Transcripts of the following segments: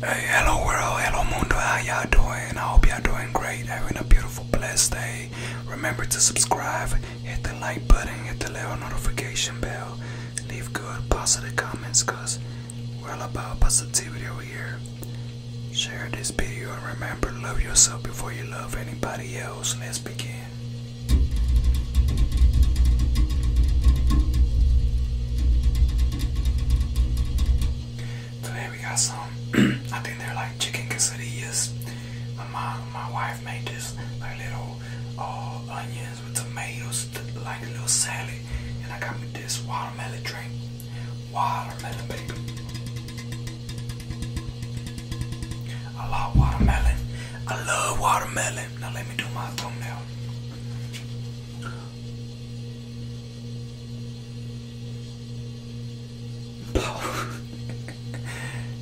Hey, hello world, hello mundo, how y'all doing? I hope y'all doing great, having a beautiful, blessed day. Remember to subscribe, hit the like button, hit the little notification bell, leave good, positive comments, cause we're all about positivity over here. Share this video and remember, love yourself before you love anybody else. Let's begin. Today we got some, I think they're like chicken quesadillas. My my wife made this like little uh, onions with tomatoes, like a little salad. And I got me this watermelon drink. Watermelon, baby. I love watermelon. I love watermelon. Now let me do my thumbnail. I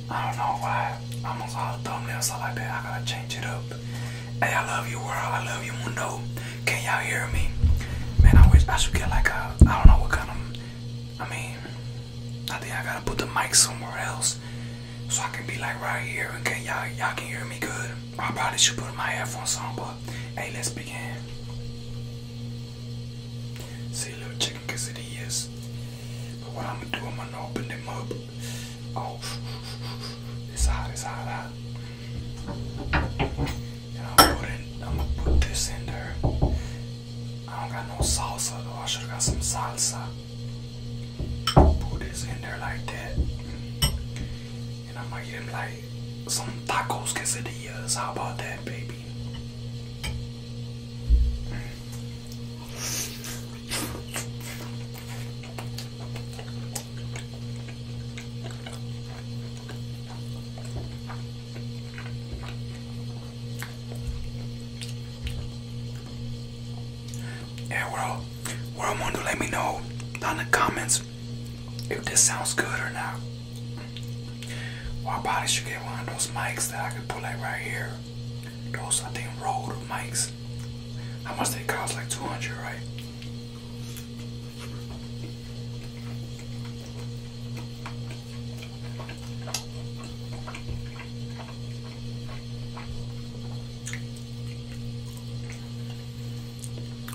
don't know why almost all thumbnails sound like that. I gotta change it up. Hey, I love you, world. I love you, mundo. Can y'all hear me? Man, I wish I should get like a. I don't know what kind of. I mean, I think I gotta put the mic somewhere else so I can be like right here okay? y'all y'all can hear me good. I probably should put my headphones on, but hey, let's begin. See, little chicken it is. But what I'm gonna do, I'm gonna open them up. Oh, it's hot, it's hot, hot. And I'm gonna put, this in there. I don't got no salsa though. I should have got some salsa. Put this in there like that. And I might get him like some tacos quesadillas. How about that, baby? And we're we to let me know down in the comments if this sounds good or not. Or I probably should get one of those mics that I could pull like right here. Those I think rolled mics. How much they cost? Like 200, right?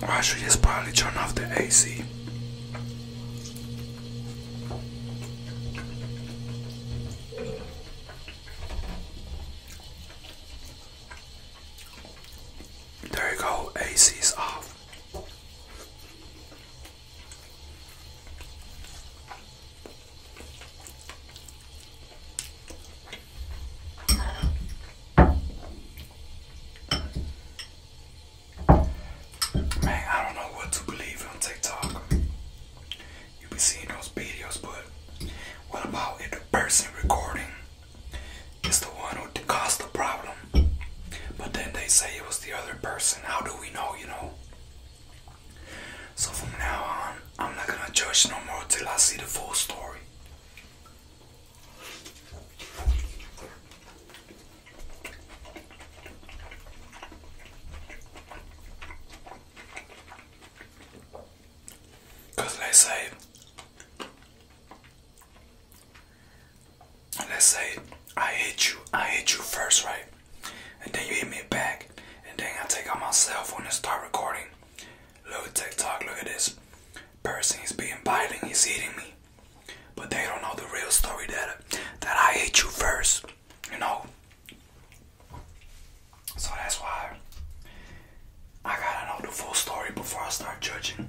Oh, I should just probably turn off the AC. There you go, AC is off. Man, I don't know what to believe on TikTok. You be seeing those videos, but what about if the person recording is the one who caused the problem? But then they say it was the other person. How do we know, you know? So from now on, I'm not gonna judge no more till I see the full story. because say, let say I hit you, I hit you first, right? and then you hit me back, and then I take out my cell phone and start recording. Look, at TikTok, look at this. Person is being violent, he's hitting me. But they don't know the real story that that I hit you first, you know. So that's why I gotta know the full story before I start judging.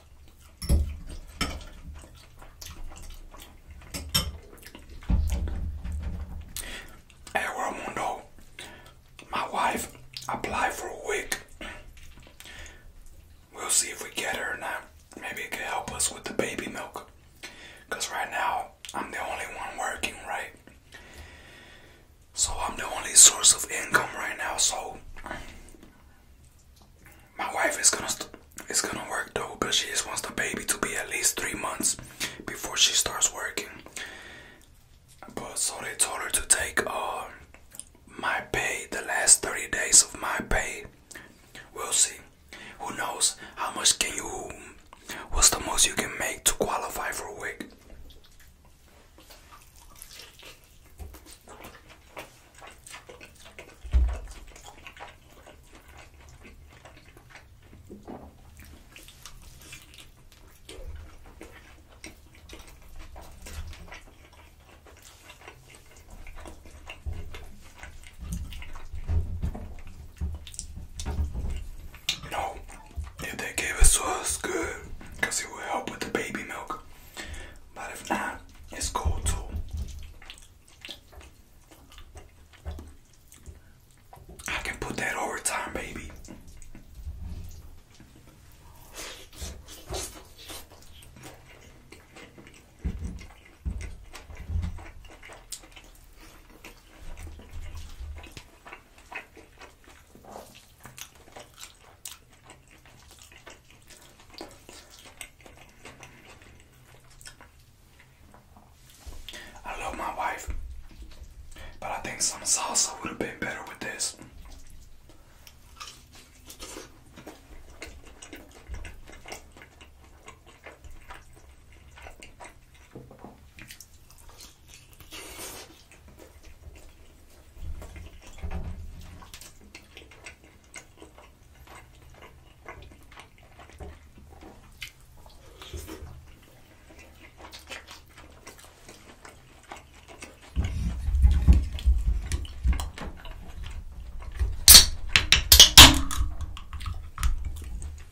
Hey Ramundo, my wife applied for a wig. We'll see if we get her or not. Maybe it could help us with the baby milk. Because right now, I'm the only one working, right? So I'm the only source of income right now, so my wife is gonna is gonna work though, but she just wants the baby to be at least three months before she starts working. But so they told her to take uh my pay, the last 30 days of my pay. We'll see. Who knows? How much can you? What's the most you can make to qualify for WIC? No, if gave us was good because it would help with the baby milk. But if not, it's cool too. I can put that overtime, baby. I love my wife, but I think some salsa would have been better with this.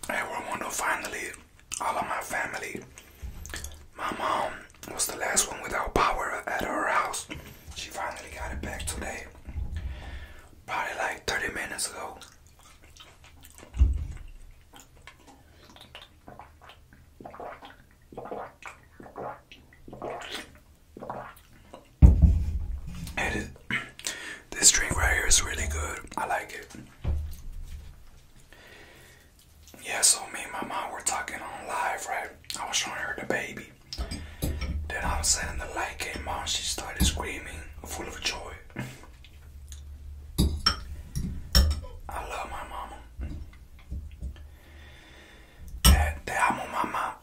I want to finally all of my family my mom was the last one without power at her house. She finally got it back today. Probably like 30 minutes ago. this drink right here is really good. I like it yeah, so me and my mom were talking on live, right? I was showing her the baby. Then all of a sudden the light came on, she started screaming, full of joy. I love my mama. Te, te amo, mama.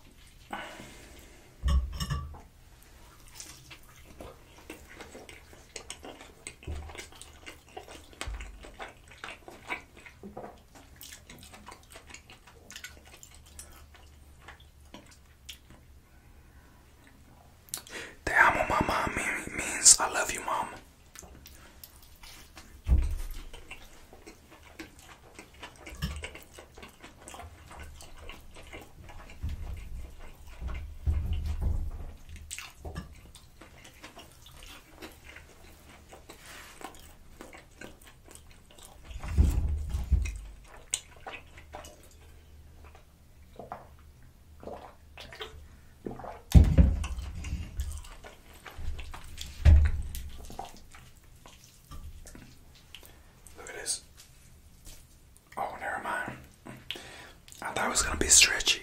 Te amo, mama means I love you, mom. Look at this. Oh, never mind. I thought it was gonna be stretchy.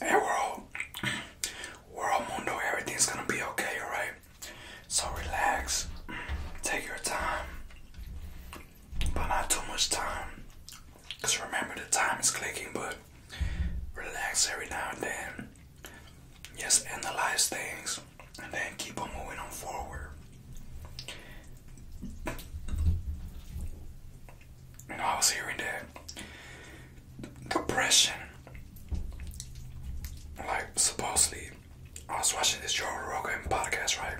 Arrow world mundo, everything's gonna be okay, alright? So relax, take your time, but not too much time. Cause remember the time is clicking, but relax every now and then. Just analyze things and then keep on moving on forward. You know, I was hearing that depression. Like supposedly, I was watching this Joe Rogan podcast, right?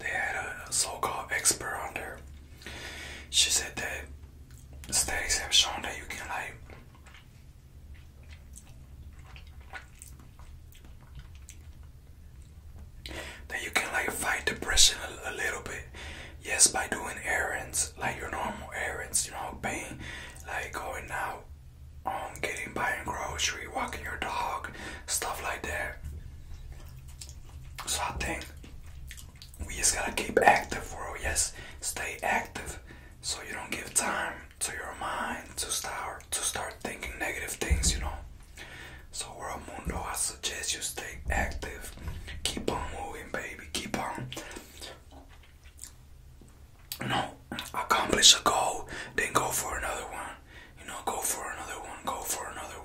They had a so-called expert on there. She said that studies have shown that you can like that you can like fight depression a, a little bit. Yes, by doing errands like your normal errands, you know, paying, like going out, um, getting buying grocery, walking your dog, stuff like that. So I think we just gotta keep active, bro. Yes, stay active, so you don't give time to your mind to start to start thinking negative things, you know. So we're Mundo, I suggest you stay active. Keep on moving, baby. Keep on. You accomplish a goal, then go for another one. You know, go for another one, go for another one.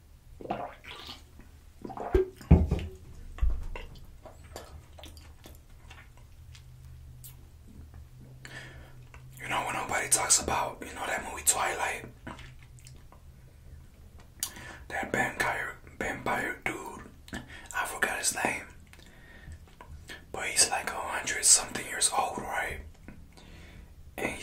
You know what nobody talks about? You know that movie Twilight? That vampire, vampire dude. I forgot his name. But he's like a hundred something years old, right? he